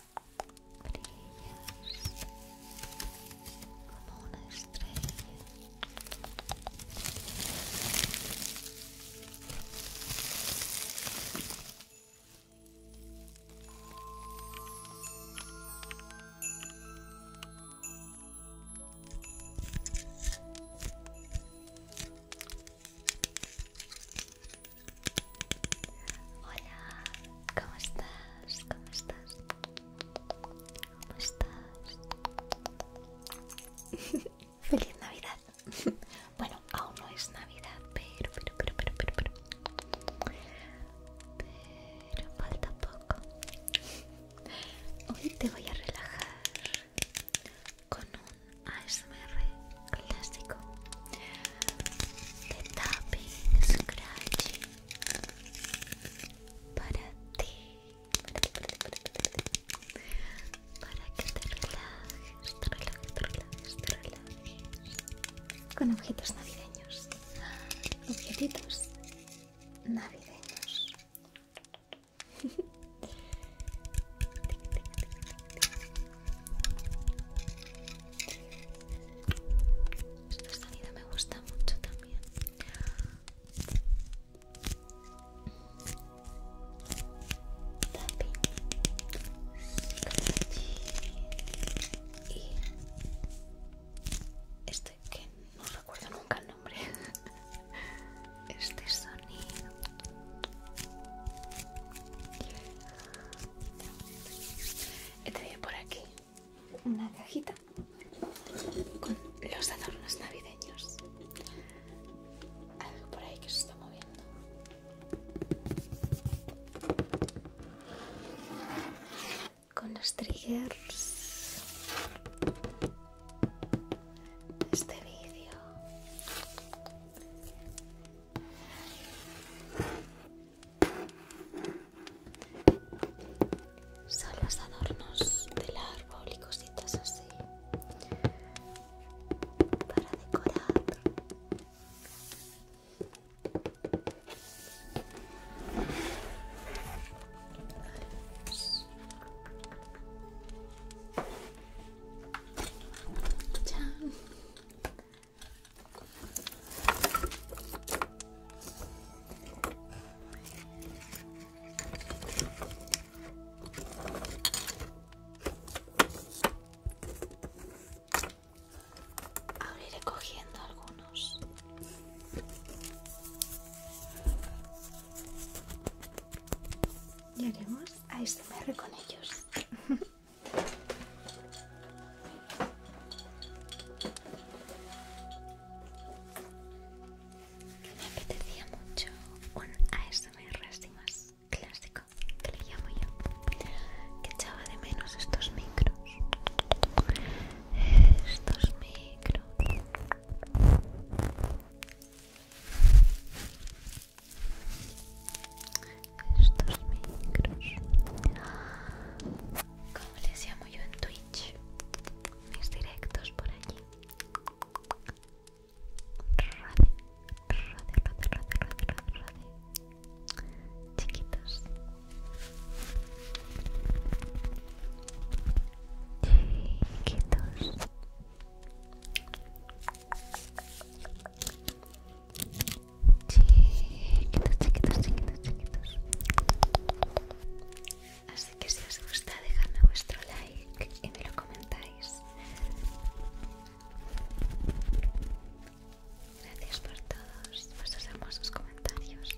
Brillas como una estrella. Hola, ¿Cómo estás? ¿Cómo estás? ¿Cómo estás? Feliz Navidad. bueno, aún no es Navidad, pero, pero, pero, pero, pero, pero, falta poco. Hoy te voy a relajar con un ASMR clásico de tapping, scratching para ti, para para ti, para ti, para que te relajes, te relajes, te relajes, te relajes, con objetos navideños, objetitos navideños. este sonido me gusta mucho también. y este que no recuerdo nunca el nombre. Este sonido. Este por aquí una cajita con los adornos navideños. Algo por ahí que se está moviendo. Con los triggers de este vídeo son los adornos del árbol y cositas así para decorar Ahora iré cogiendo algunos. Y haremos ASMR este con ellos. me apetecía mucho un ASMR así más clásico que le llamo yo que echaba de menos estos micros estos micros estos micros ¿Cómo les llamo yo en Twitter? mis directos por allí. Chiquitos. Chiquitos. Chiquitos, chiquitos, chiquitos, chiquitos. Así que si os gusta, dejadme vuestro like y me lo comentáis. Gracias por todos vuestros hermosos comentarios.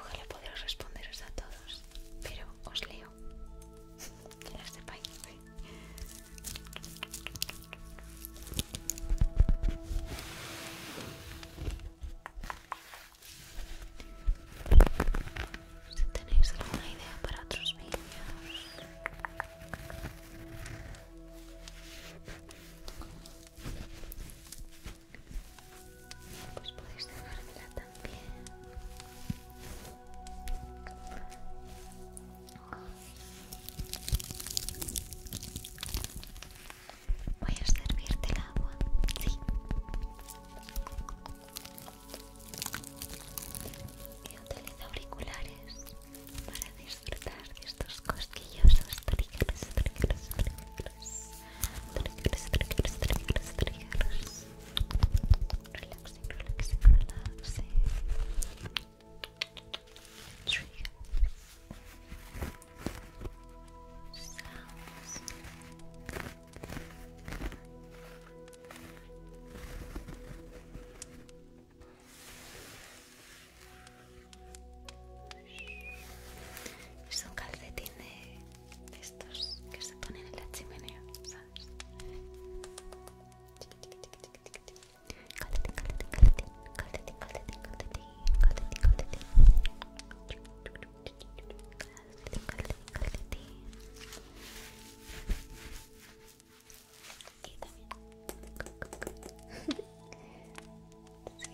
Ojalá podréis responderos a todos, pero os leo. Que lo sepáis. ¿eh? si tenéis alguna idea para otros vídeos pues podéis dejármela también Voy a servirte el agua. Sí. Yo utilizo auriculares para disfrutar de estos cosquillosos trígeros, trígeros, trígeros. Trígeros, trígeros, trígeros, trígeros. Relaxing, relaxing, relaxing. Son es un calcetín de estos que se ponen en la chimenea, ¿sabes? Calcetín, calcetín, calcetín, calcetín, calcetín, calcetín, calcetín,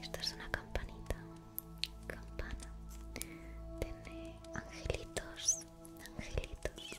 esto es una campanita. Campana. Tiene angelitos. Angelitos.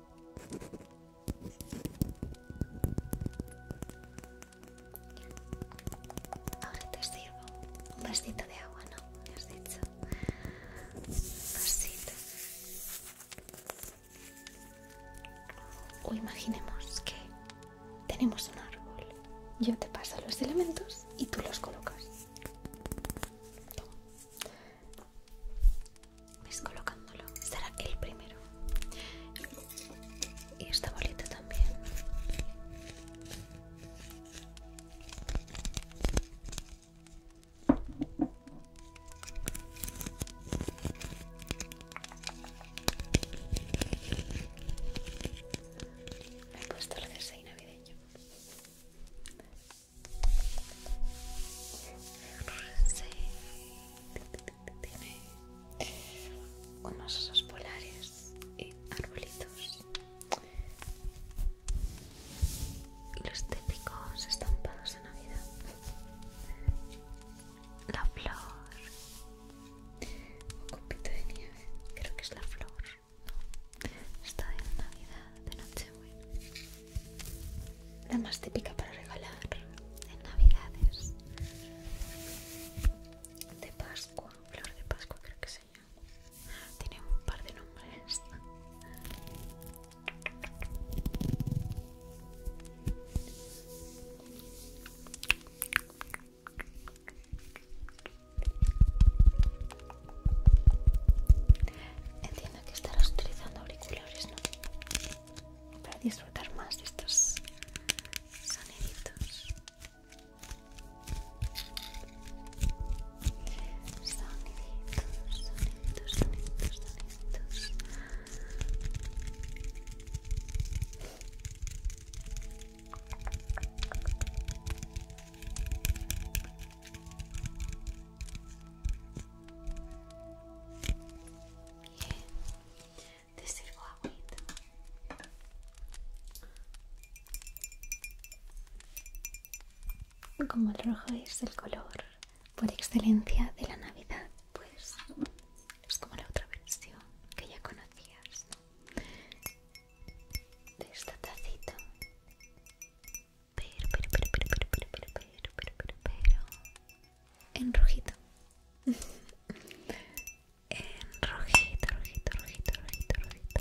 Ahora te sirvo un vasito de agua, ¿no? Me has dicho. Vasito. O imaginemos que tenemos un árbol. Yo te paso los elementos y tú los colocas es pues colocándolo, será el primero y esta bolita también me he puesto el jersey navideño tiene unos osos polares y arbolitos. Y los típicos estampados de Navidad. La flor. Un copito de nieve. Creo que es la flor. Está en Navidad de La más típica para regalar en Navidades. De Pascua, flor de Pascua creo que se llama. Tiene un par de nombres que estarás utilizando auriculares, Para disfrutar más de estos soniditos. Soniditos, soniditos, soniditos, soniditos. Bien, te sirvo Como el rojo es el color por excelencia de la Navidad, pues es como la otra versión que ya conocías de esta tacito. Pero, pero, pero, pero, pero, pero, pero, pero, pero, En rojito. en rojito, rojito, rojito, rojito,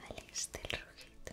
Vale, este el rojito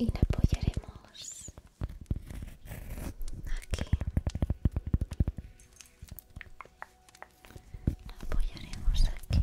y nos apoyaremos aquí Nos apoyaremos aquí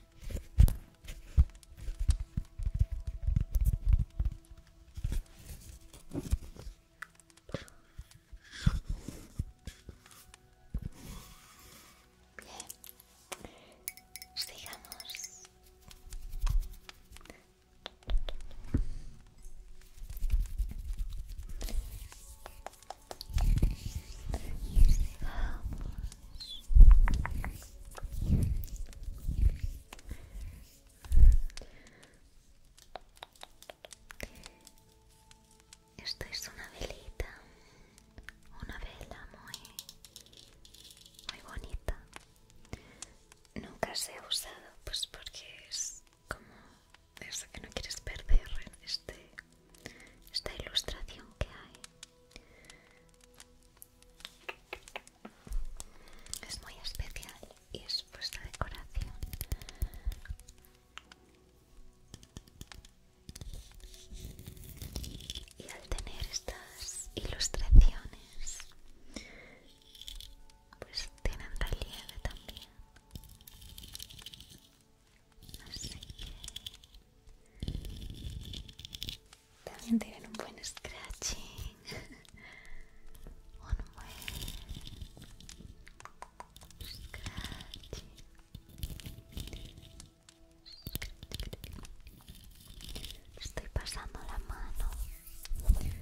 Bien, sigamos. Esto es una velita, una vela muy, muy bonita. Nunca se ha usado, pues porque es como eso que no quieres perder, este, esta ilustración que hay. Es muy especial y es puesta decoración. Y al tener estas ilustraciones, pues tienen relieve también también tienen un buen scratching, un buen scratching. Estoy pasando la mano por el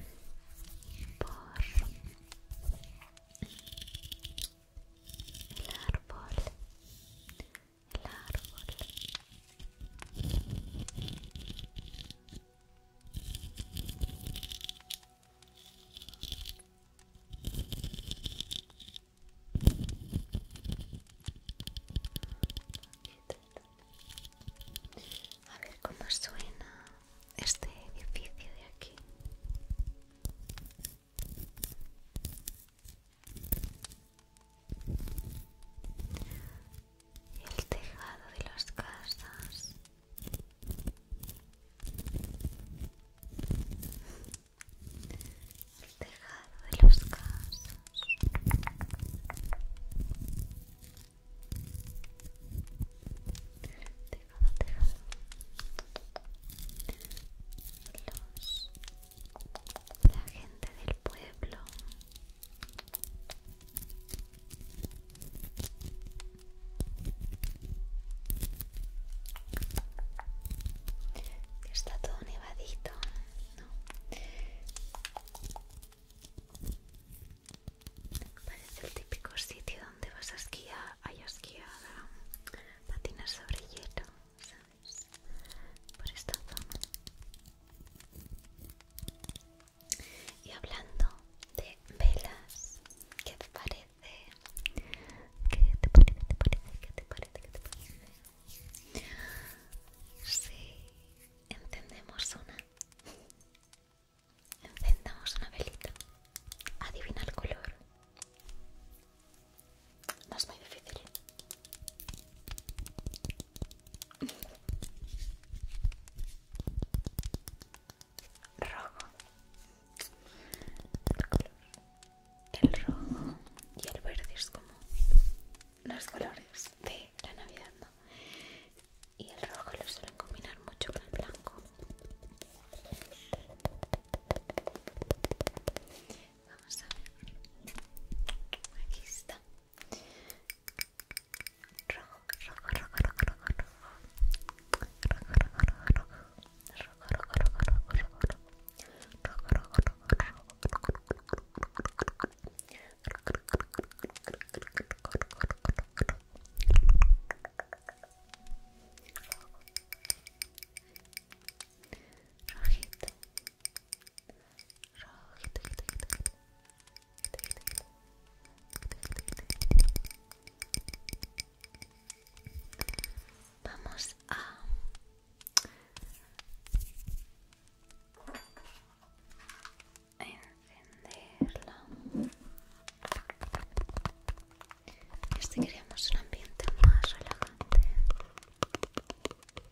árbol el a ver cómo suena este edificio de aquí el tejado de las casas el tejado de las casas tejado, tejado los la gente del pueblo está todo nevadito no parece el típico sitio donde vas a esquiar hay esquiar patinas sobre hielo por esta zona. Y hablando de velas, ¿qué te parece? ¿Qué te parece? ¿Te parece? ¿Qué te parece? ¿Qué te parece? Sí, encendemos una. Encendamos una velita. Adivina el color. No es muy difícil. Rojo. El, rojo y el verde es como los colores de la Navidad, ¿no? Y el rojo lo suelen combinar mucho con el blanco. Vamos a ver. Aquí está. Rojo, Vamos a encenderla. Este queríamos un ambiente más relajante.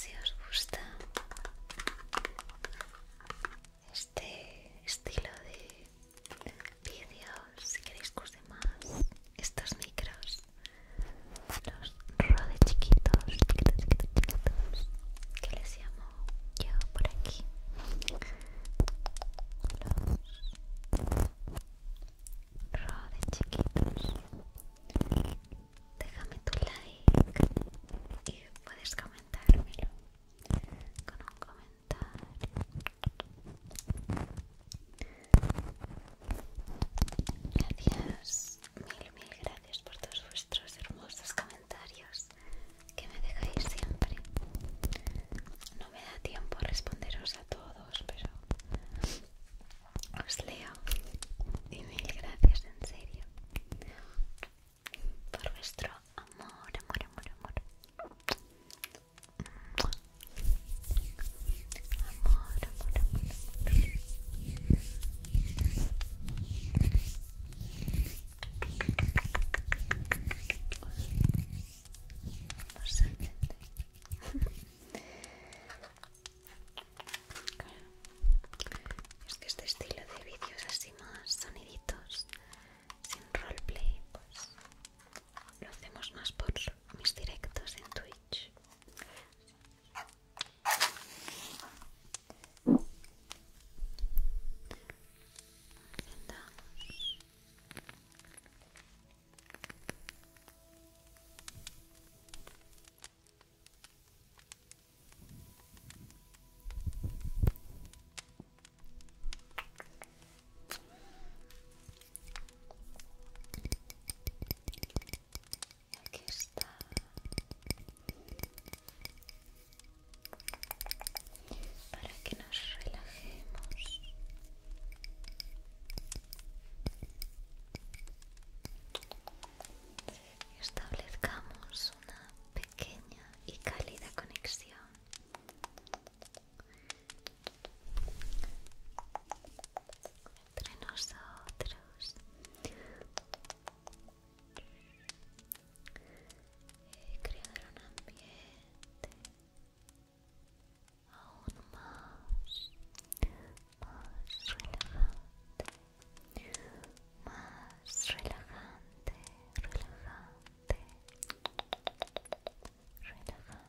Si os gusta este estilo de vídeos si queréis que más estos micros los rode chiquitos chiquitos chiquitos chiquitos que les llamo yo por aquí los rode chiquitos déjame tu like y puedes comentármelo con un comentario. Gracias, mil, mil gracias por todos vuestros hermosos comentarios que me dejáis siempre. No me da tiempo a responderos a todos, pero os leo. Y mil gracias, en serio por vuestro amor, amor, amor, amor. Amor, amor, amor. amor. Es que este estilo de vídeos así más soniditos sin roleplay, pues lo hacemos más por mis directos en Twitch. Aquí está. Para que nos relajemos. Establezcamos una pequeña y cálida conexión. Entre nosotros y eh, crear un ambiente aún más, más más relajante, relajante, relajante. Relajante, relajante, relajante.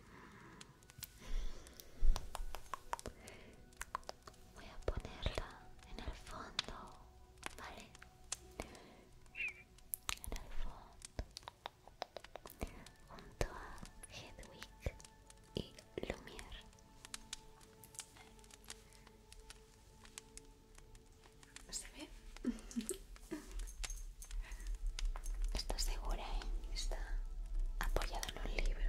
Voy a ponerla en el fondo, ¿vale? En el fondo, junto a Hedwig y Lumière. ¿Se ve? Está segura, ¿eh? Está apoyada en un libro.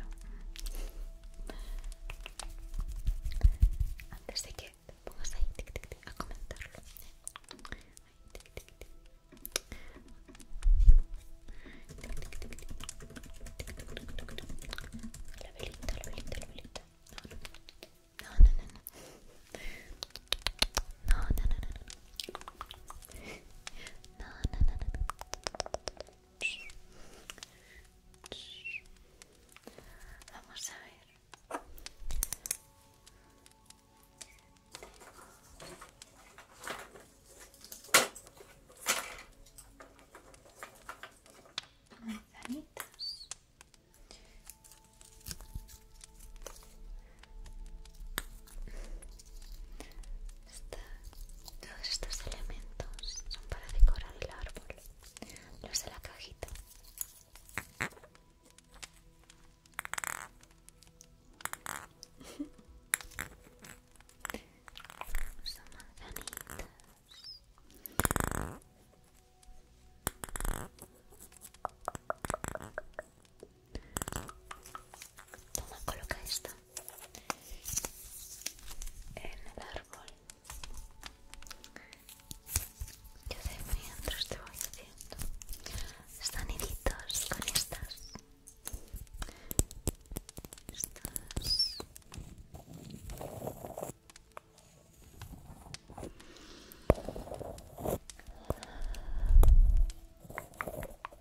Antes de que te pongas ahí tic, tic, tic, a comentarlo. Ahí, La velita, la velita, la velita. no, no, no. no. No, no, no, no, no. No, no, no, no, no. Vamos a ver. Manzanitas todos estos elementos son para decorar el árbol, los de la cajita. Son a coloca esto en el árbol. Yo de mientras te voy haciendo soniditos con estas. Estas.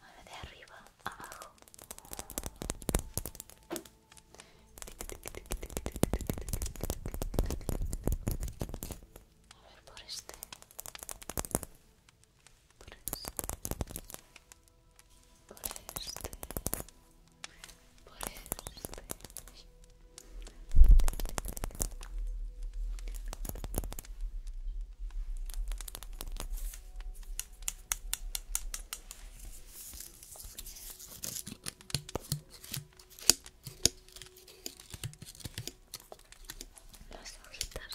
Ahora de arriba abajo. A ver por este. por este por este por este las hojitas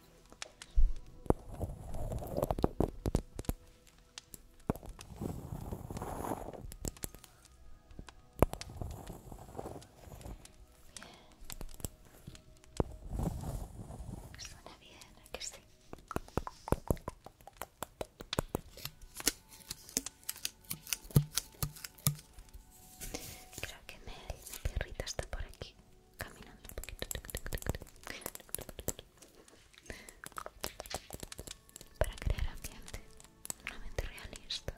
Suena bien, aquí que sí? Creo que Mel, la perrita, está por aquí caminando un poquito para crear ambiente, una Coloca realista.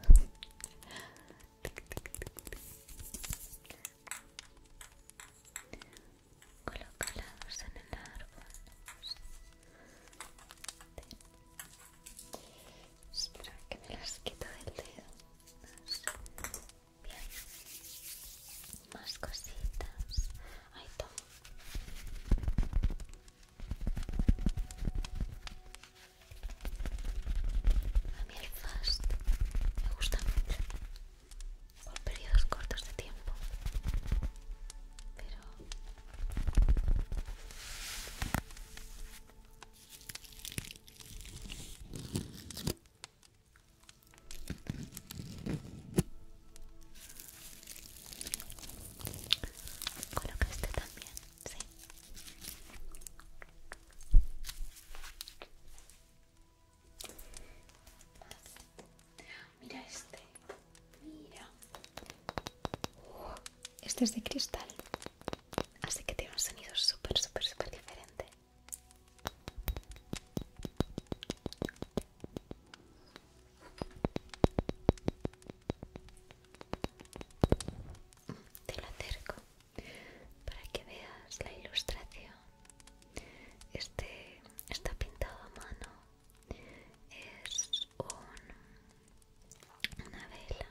Colocados en el árbol. Espera que me las quito del dedo. Más cositas. Ahí todo A mí el fast me gusta mucho. Por periodos cortos de tiempo. Pero... Coloca este también, sí. Mira este, mira. este es de cristal, así que tiene un sonido súper, súper, súper diferente. Te lo acerco para que veas la ilustración. Este está pintado a mano. Es un, una vela.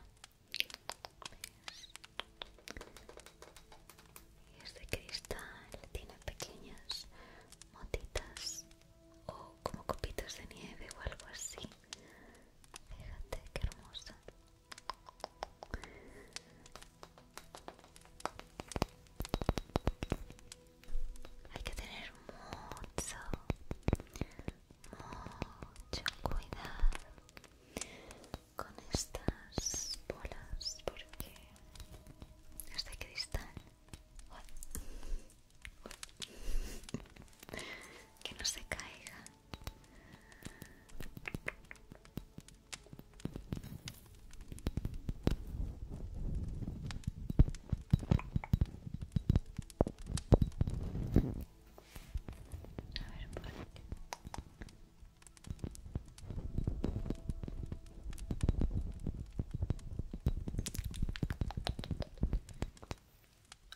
Y este cristal, tiene pequeñas motitas o como copitos de nieve o algo así. Fíjate que hermoso Hay que tener mucho, mucho cuidado con estas bolas porque este cristal que no se caiga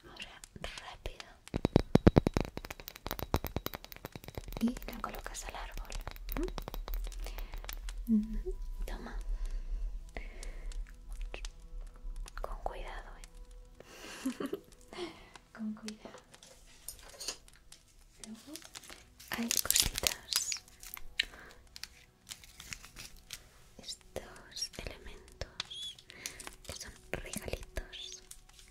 Ahora rápido. Y la colocas al árbol. Toma. Con cuidado, ¿eh? Con cuidado. Luego hay cositas. Estos elementos son regalitos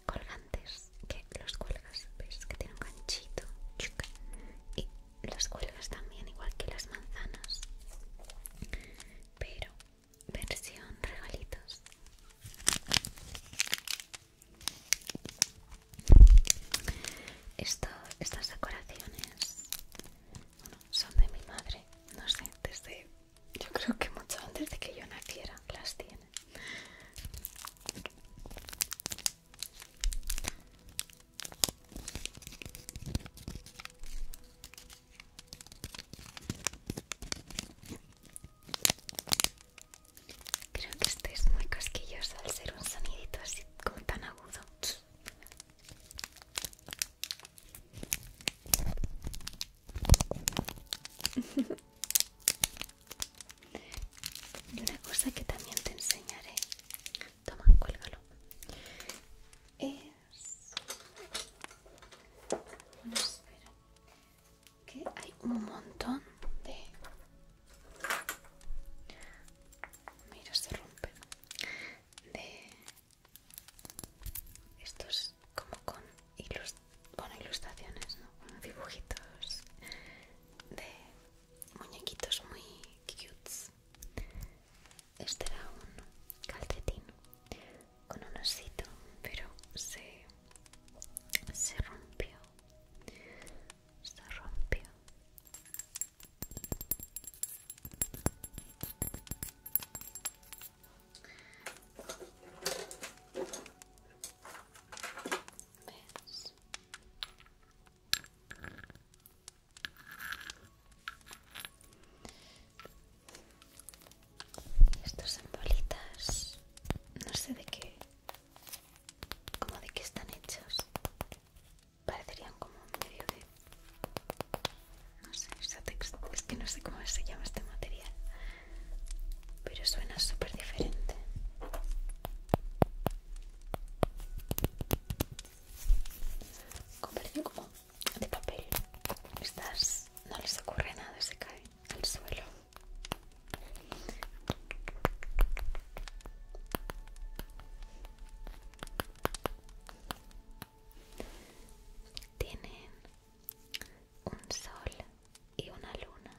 colgantes que los cuelgas, ves que tiene un ganchito y los cuelgas también igual que las manzanas, pero versión regalitos. Esto, estas decoraciones son de mi madre, no sé, desde yo creo que mucho antes de que yo naciera las tiene. Creo que esto es muy cosquilloso al ser un sonidito así como tan agudo. Y una cosa que también te enseñaré, toma, cuélgalo, es que hay un montón de... Mira, se rompe. De... Estos como con ilustraciones, ¿no? dibujitos de muñequitos muy cutes. Este era un calcetín con un osito, pero se, se rompió se rompió. ¿Ves? bolitas, no sé de qué como de que están hechos parecerían como medio de no sé es que no sé cómo se llama este material pero suena súper diferente como de papel estas no les ocurre nada se cae al suelo tienen un sol y una luna.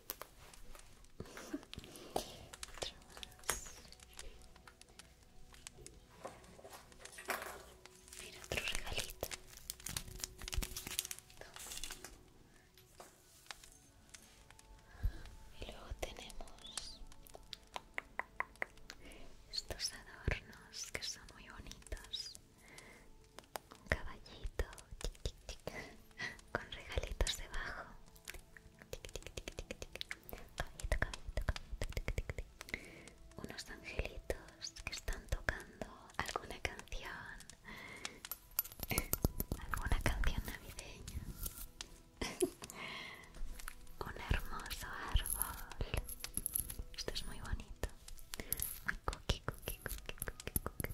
Mira otro regalito. Y luego tenemos estos adornos que son muy bonitos. Un caballito con regalitos debajo. Unos angelitos que están tocando alguna canción. alguna canción navideña. Un hermoso árbol. Esto es muy bonito. Un cookie, cookie, cookie, cookie,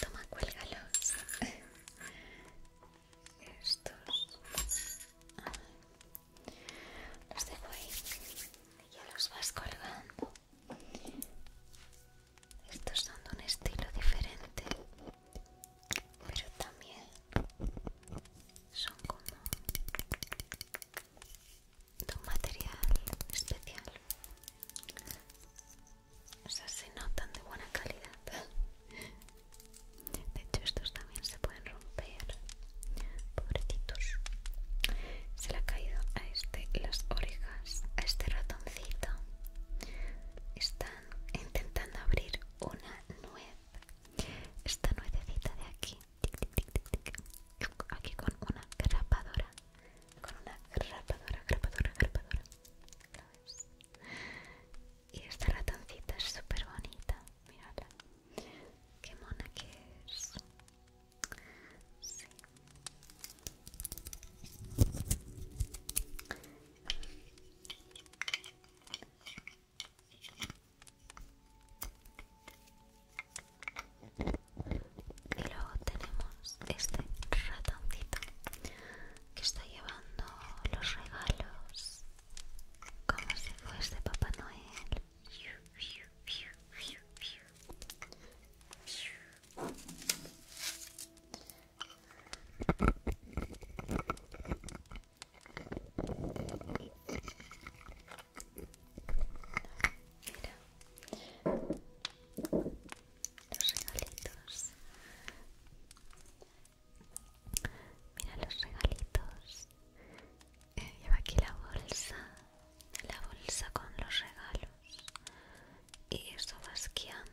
Toma, cuélgalos. Estos. Los dejo ahí. Y ya los vas colgando. Estos son de un estilo diferente, pero también son como de un material especial o sea se notan de buena calidad de hecho estos también se pueden romper pobrecitos se le ha caído a este las orejas a este ratoncito están intentando abrir una nuez esta nuececita de aquí aquí con una grapadora con una grapadora grapadora grapadora y esta ratoncita es súper bonita mírala qué mona que es y luego tenemos este ratoncito que está llevando los regalos como si fuese Papá Noel. Mira los regalitos. Mira los regalitos. lleva aquí la bolsa, la bolsa con los regalos. Y esto va esquiando.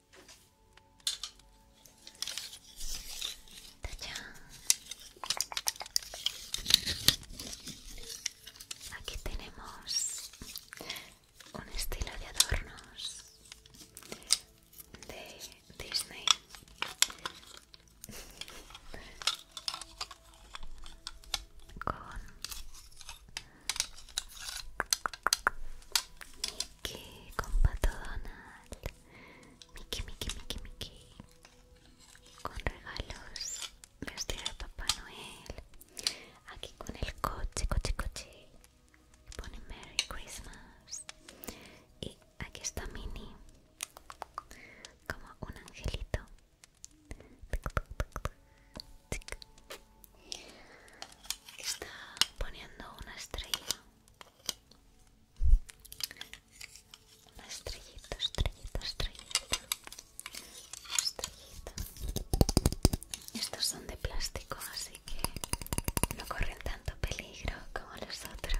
Aquí tenemos un estilo de adornos de Disney. Con Mickey con Pato Donald. Mickey, Mickey, Mickey, Mickey. Con regalos. Vestido de Papá Noel. Aquí con el coche, coche, coche. Pone Merry Christmas. Y aquí está Minnie. Como un angelito está poniendo una estrella una estrellita, estrellita, estrellita estrellita estos son de plástico así que no corren tanto peligro como los otros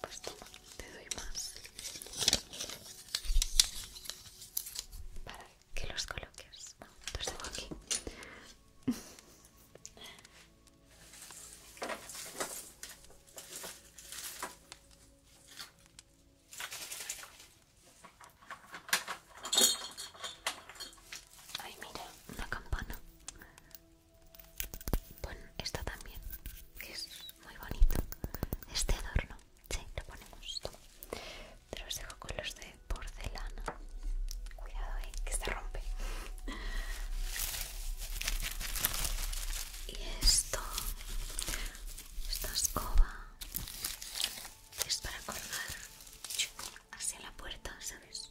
Pues toma, te doy más para que los coloques. los dejo aquí. Ay, mira, una campana. Bueno, esta también, es muy bonito este adorno. si lo ponemos. pero os dejo con los de porcelana. Cuidado, que se rompe. Y esto, esta escoba, es para colgar hacia la puerta, ¿sabes?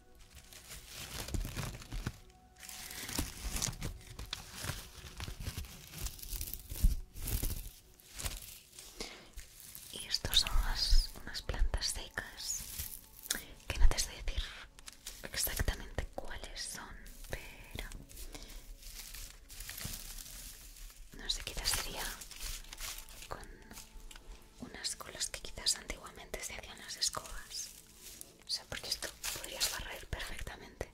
Y estos son unas, plantas secas que no te sé decir exactamente cuáles son, pero no sé qué sería con unas colas que quizás antiguamente se hacían las escobas. O sea, porque esto podrías barrer perfectamente.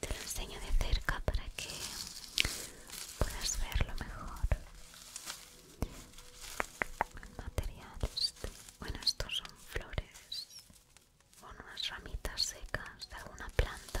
Te lo enseño de cerca para que puedas verlo mejor. El material Bueno, estos son flores. Con unas ramitas secas de alguna planta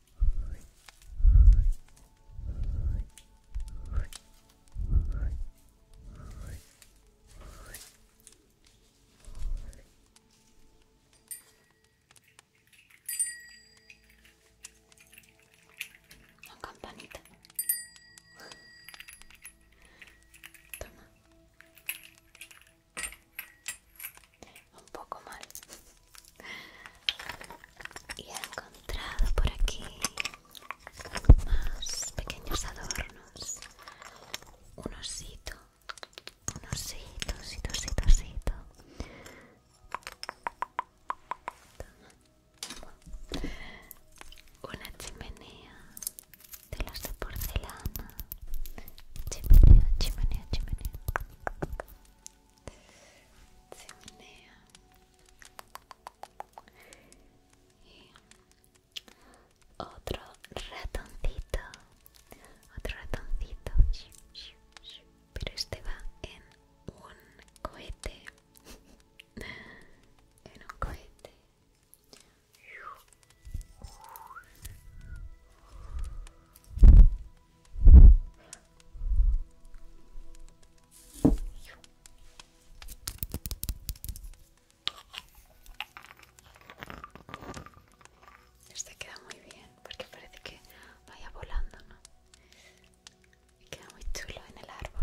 una campanita. Toma. Un poco mal y he encontrado por aquí más pequeños adornos un osito un osito, osito, osito, osito una chimenea de los de porcelana chimenea, chimenea, chimenea chimenea otro ratoncito, otro ratoncito, pero este va en un cohete, en un cohete. Este queda muy bien porque parece que vaya volando, ¿no? Queda muy chulo en el árbol.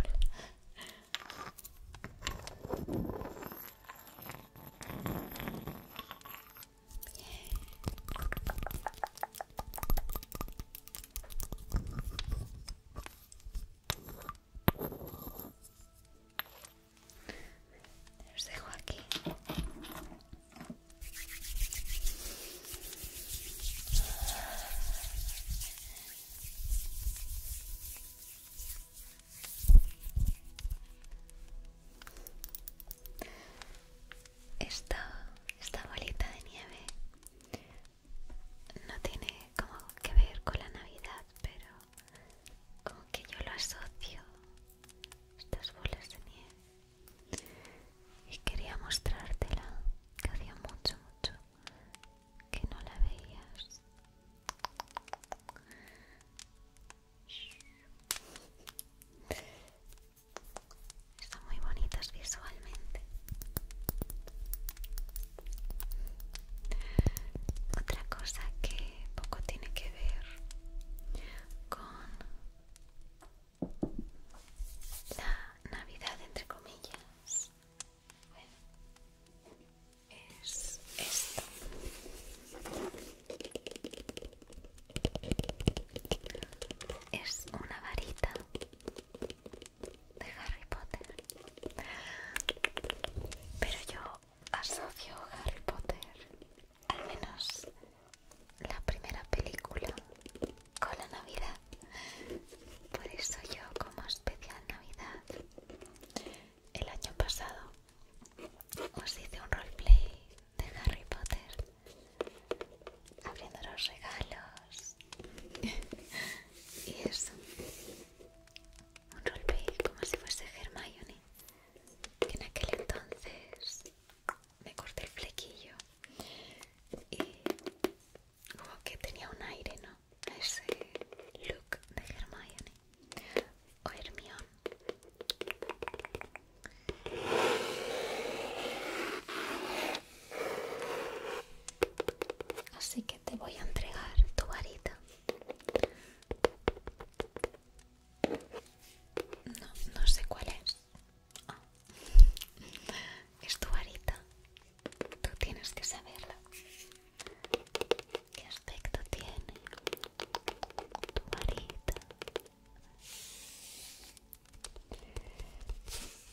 Los dejo aquí. esta bolita de nieve no tiene como que ver con la Navidad, pero como que yo lo asocio, estas bolas de nieve. Y quería mostrártela, que hacía mucho, mucho que no la veías. Están muy bonitas visualmente. Otra cosa que poco tiene que ver con la Navidad, entre comillas, es esto. Es una varita de Harry Potter. Pero yo asocio Harry Potter, al menos la primera película, con la Navidad. Por eso yo como especial Navidad, el año pasado os hice un roleplay de Harry Potter abriendo los regalos y eso un rolpe como si fuese Hermione que en aquel entonces me corté el flequillo y como que tenía un aire, ¿no? ese look de Hermione o Hermione Así que te voy a entregar tu varita. No, no sé cuál es. Ah. Es tu varita. Tú tienes que saberla. ¿Qué aspecto tiene tu varita?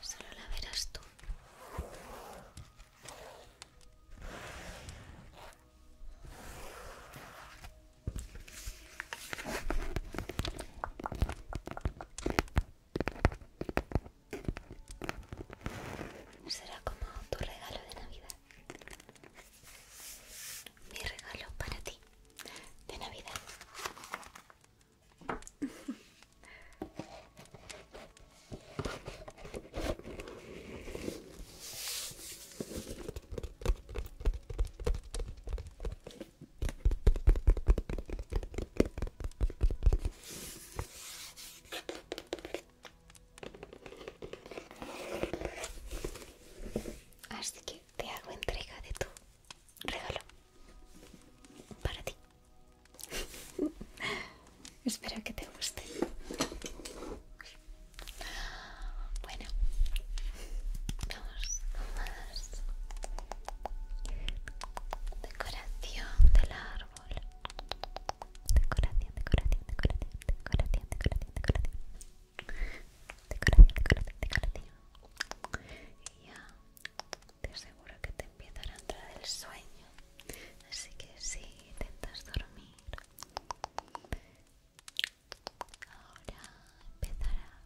Solo la verás tú. Será como tu regalo de Navidad. Mi regalo para ti de Navidad. Así que te hago entrega de tu regalo para ti. Espero que te guste. Bueno, vamos con más decoración del árbol. Decoración, decoración, decoración, decoración, decoración, decoración. Decoración, decoración, decoración. Y ya te aseguro que te empieza a entrar el sueño. Así que si intentas dormir, ahora empezará.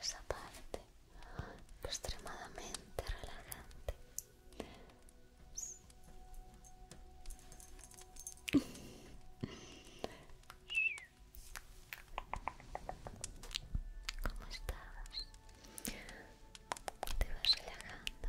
Esa parte extremadamente relajante ¿Cómo estás? Te vas relajando.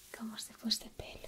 como se fuese pelo.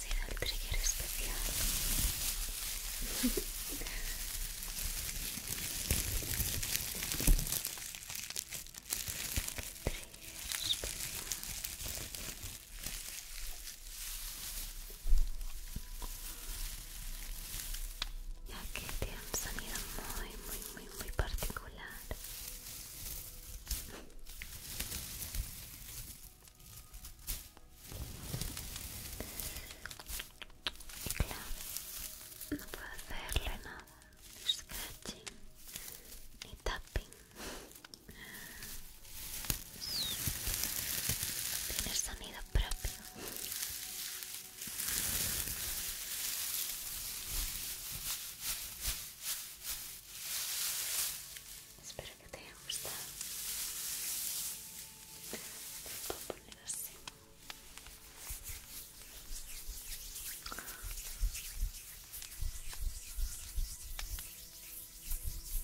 será el trigger especial. Ya que tiene un sonido muy, muy, muy, muy particular. Y no puedo hacerle nada, scratching, ni tapping. Tiene sonido propio. Espero que te haya gustado. poner así.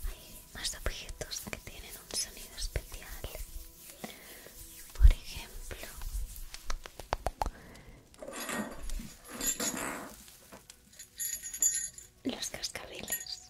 Hay más objetos que tienen un sonido especial. Por ejemplo, los cascabeles.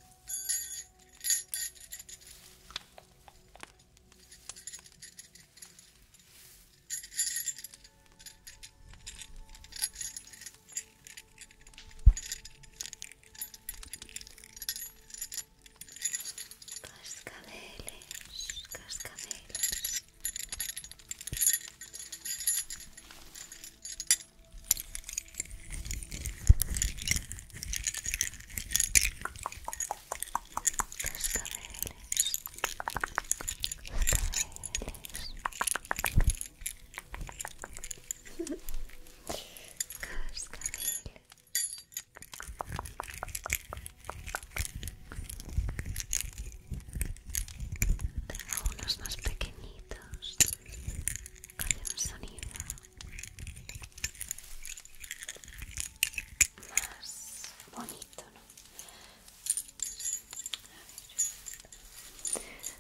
Cascabeles, cascabeles. Cascameles, Cascameles, Cascameles, tengo unos más pequeñitos calla un sonido más bonito, ¿no? A ver,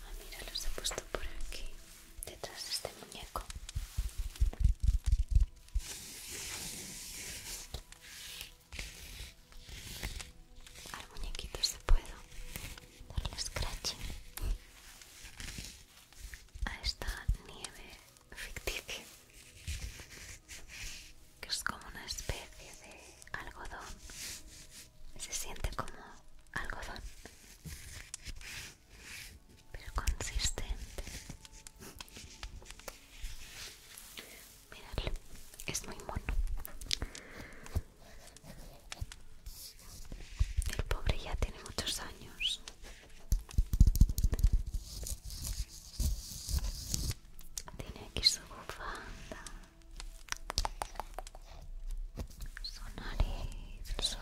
Ah, mira, los he puesto por aquí detrás de este muñeco al muñequito se puedo darle scratch a esta nieve ficticia que es como una especie de algodón se siente como algodón pero consistente. Miradlo, es muy mono. El pobre ya tiene muchos años. Tiene aquí su bufanda su nariz, su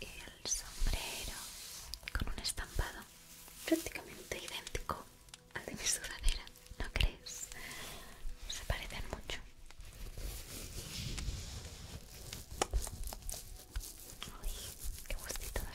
y el sombrero con un estampado prácticamente idéntico al de mi sudadera, ¿no crees? Se parecen mucho. Uy, qué gustito de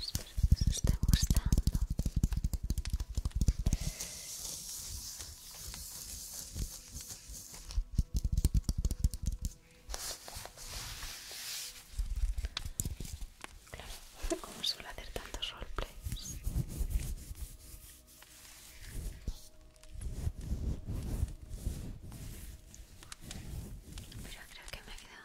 Espero que gustando. Claro, como suelo hacer tantos roleplays. Pero creo que me quedado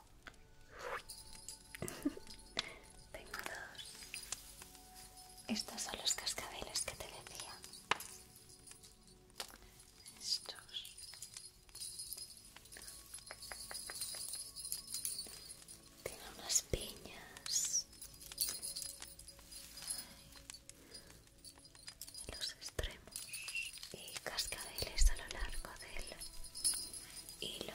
Tengo dos. Estos son los cascabeles que te decía. Estos. Tiene unas piñas. En los extremos y cascabeles a lo largo del hilo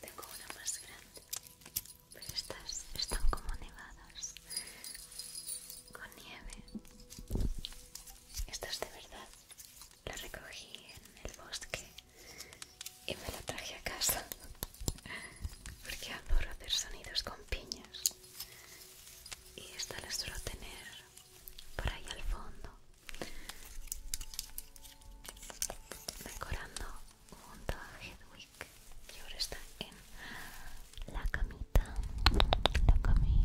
Tengo una más grande, pero estas están como nevadas, con nieve. Estas de verdad la recogí en el bosque y me la traje a casa porque adoro hacer sonidos con piñas y esta la suelo tener por ahí al fondo decorando junto a Hedwig y ahora está en la camita la camita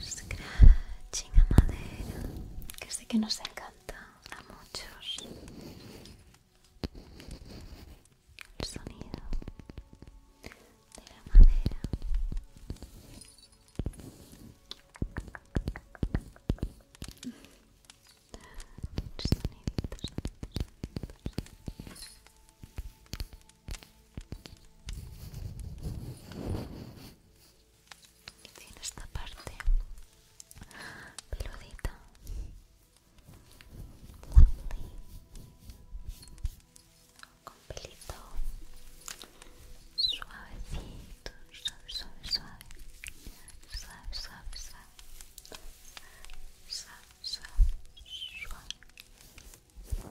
Scratching a madera, que sé que nos encanta a muchos. El sonido de la madera y tiene esta parte peludita Lovely. con pelito suavecito suave suave suave suave suave suave suave suave suave suave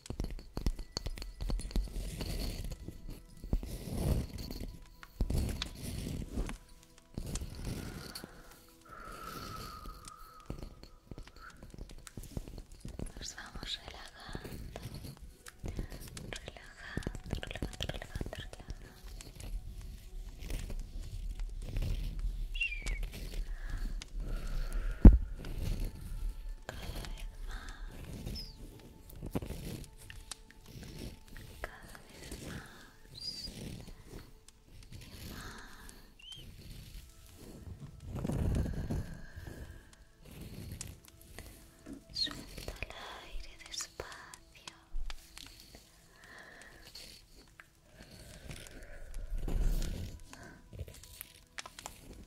Nos vamos relajando, relajando, relajando, relajando, cada vez más y más suelta el aire despacio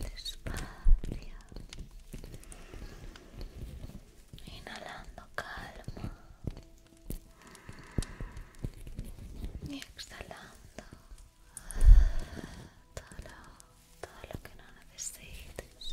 Despacio, inhalando calma y exhalando todo lo, lo que no necesites.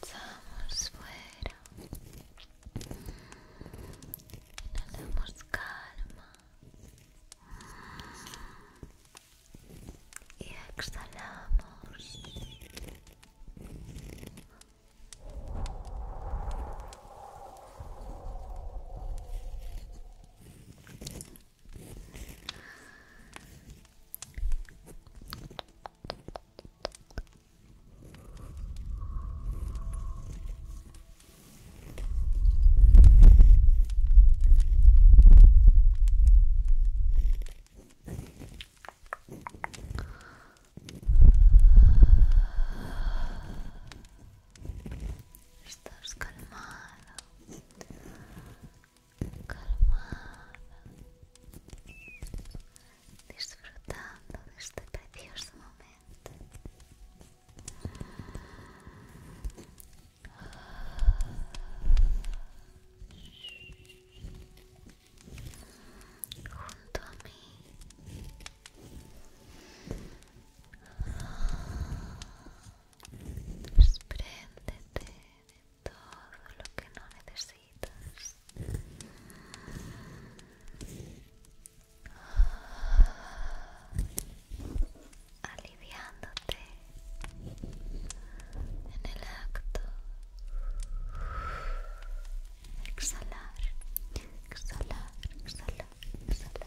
Pasamos fuera. Inhalamos calma. Y exhalamos. Estás calmado. calmada, disfrutando de este precioso momento. Junto a mí. despréndete de todo lo que no necesitas aliviándote en el acto exhalar exhalar exhalar exhalar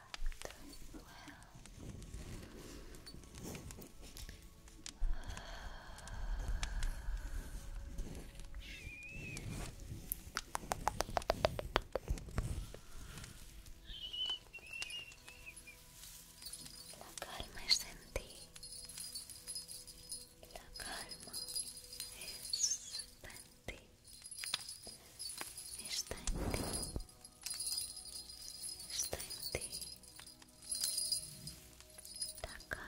La calma es en ti. La calma es en ti, está en ti, está en ti, la Está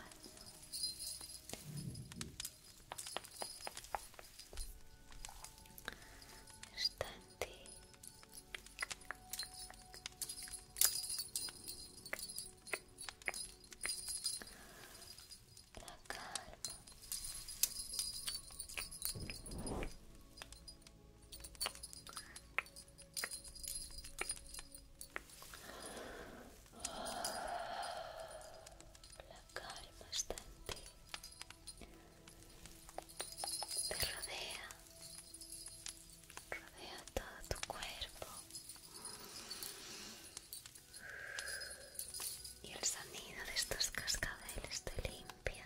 en ti. La La calma está en ti, te rodea, rodea todo tu cuerpo y el sonido de estos cascabeles te limpia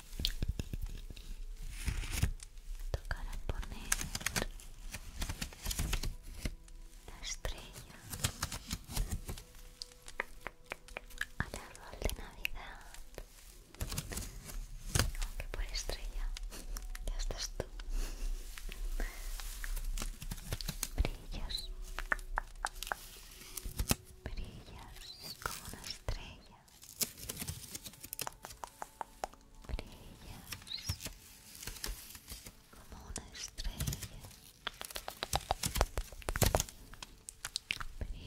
Tocará poner la estrella al árbol de Navidad. Aunque por estrella, ya estás tú. Brillas, brillas como una estrella. Brillas como una estrella. Brilla como una estrella. Brillas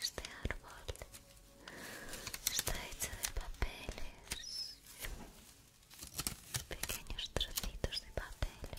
Este árbol está hecho de papeles, pequeños trocitos de papeles.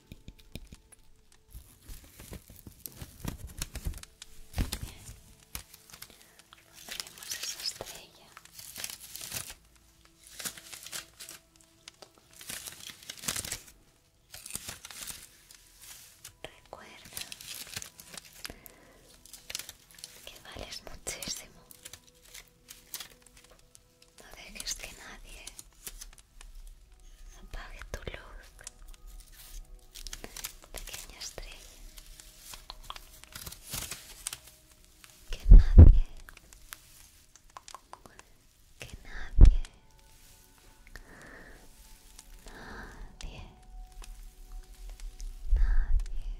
Pondremos esa estrella. Recuerda que vales muchísimo. No dejes que nadie apague tu luz, pequeña estrella. Que nadie, que nadie, nadie, nadie,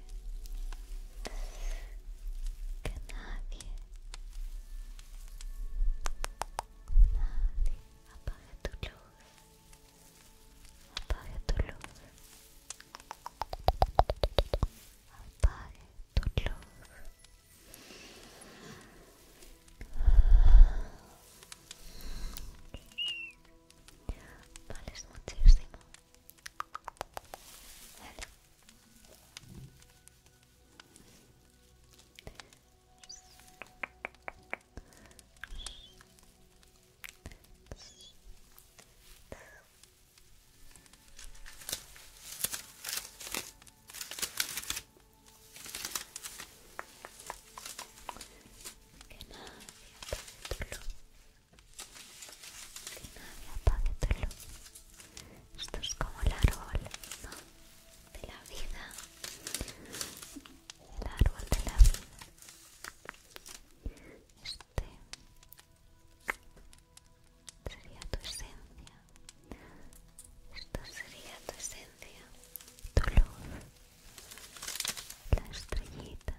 que nadie apaga tu luz. Apaga tu luz. apaga tu luz. Vales muchísimo. Que nadie apague tu luz. Esto es como el árbol, ¿no? de la vida, el árbol de la vida, este sería tu esencia, esto sería tu esencia, tu luz, la estrellita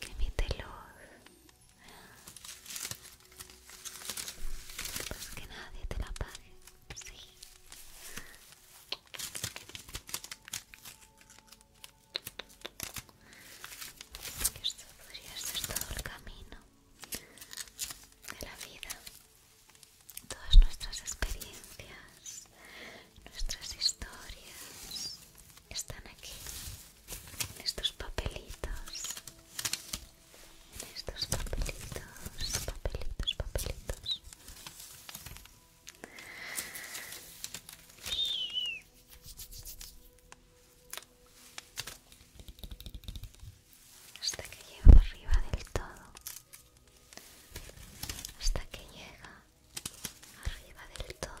que emite luz pues que nadie te la pague, pues sí. Esto podría ser todo el camino de la vida, todas nuestras experiencias, nuestras historias están aquí, En estos papelitos estos papelitos, papelitos, papelitos. Hasta que llega arriba del todo. Hasta que llega arriba del todo.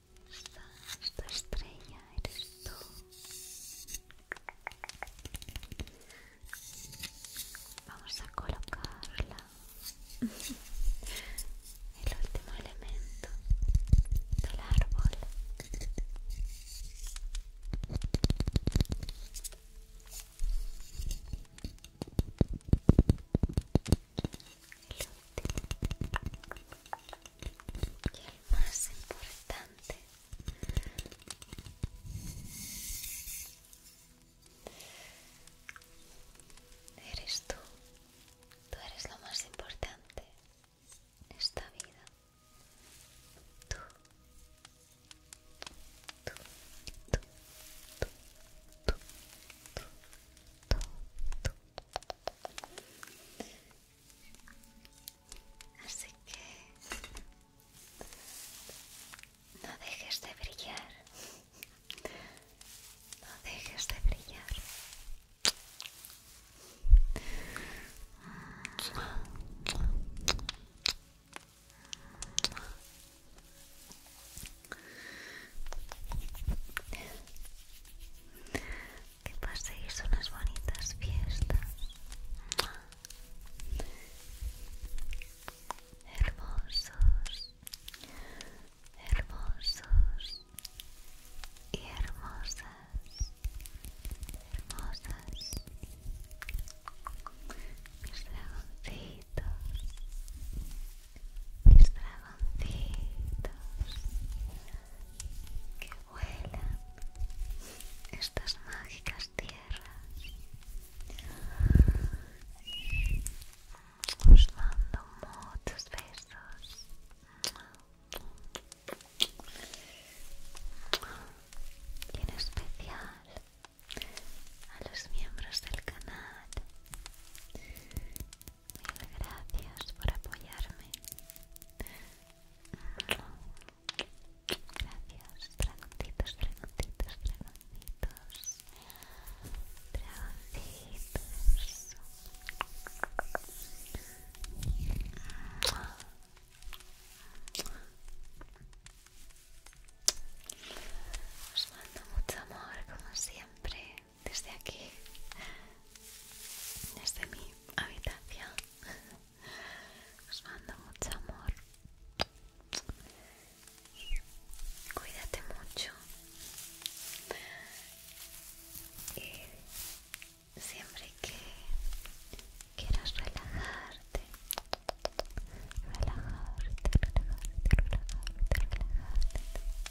esta estrella eres tú. Vamos a colocarla. El último elemento del árbol y el más importante eres tú tú eres lo más importante en esta vida tú tú tú tú Así que no dejes de brillar. No dejes de brillar. Que paséis unas bonitas fiestas. Hermosos, hermosos y hermosas, hermosas. Mis dragoncitos, mis dragoncitos que vuelan estas mágicas tierras. Os mando muchos besos. Y en especial a los miembros del canal gracias por apoyarme. Gracias, dragoncitos, dragoncitos, Os mando mucho amor, como siempre desde aquí, desde mi habitación. Os mando mucho amor. Cuídate mucho. Y siempre que quieras relajarte, relajarte, relajarte, relajarte, relajarte,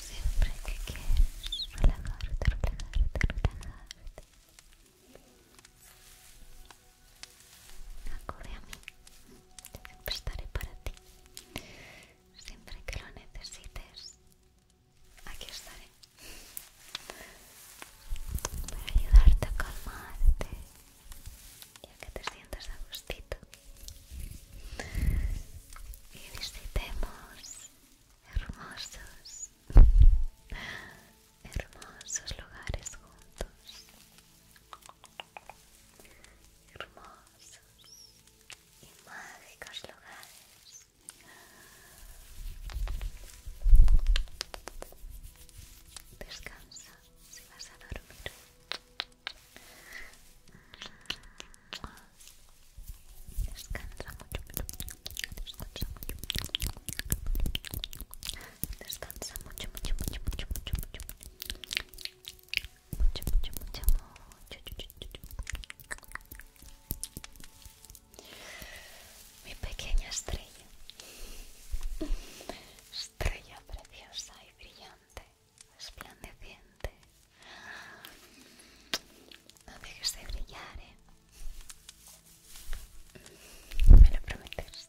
siempre que quieres relajarte, relajarte, relajarte acude a mí siempre estaré para ti siempre que lo necesites aquí estaré para ayudarte a calmarte y a que te sientas a gustito y visitemos hermosos, hermosos lugares juntos, hermosos y mágicos lugares. Descansa si vas a dormir. Descansa mucho, mucho. mucho, mucho, mucho, mucho, mucho, Mi pequeña estrella. Estrella preciosa y brillante resplandeciente. No dejes de brillar, ¿eh? Me lo prometes.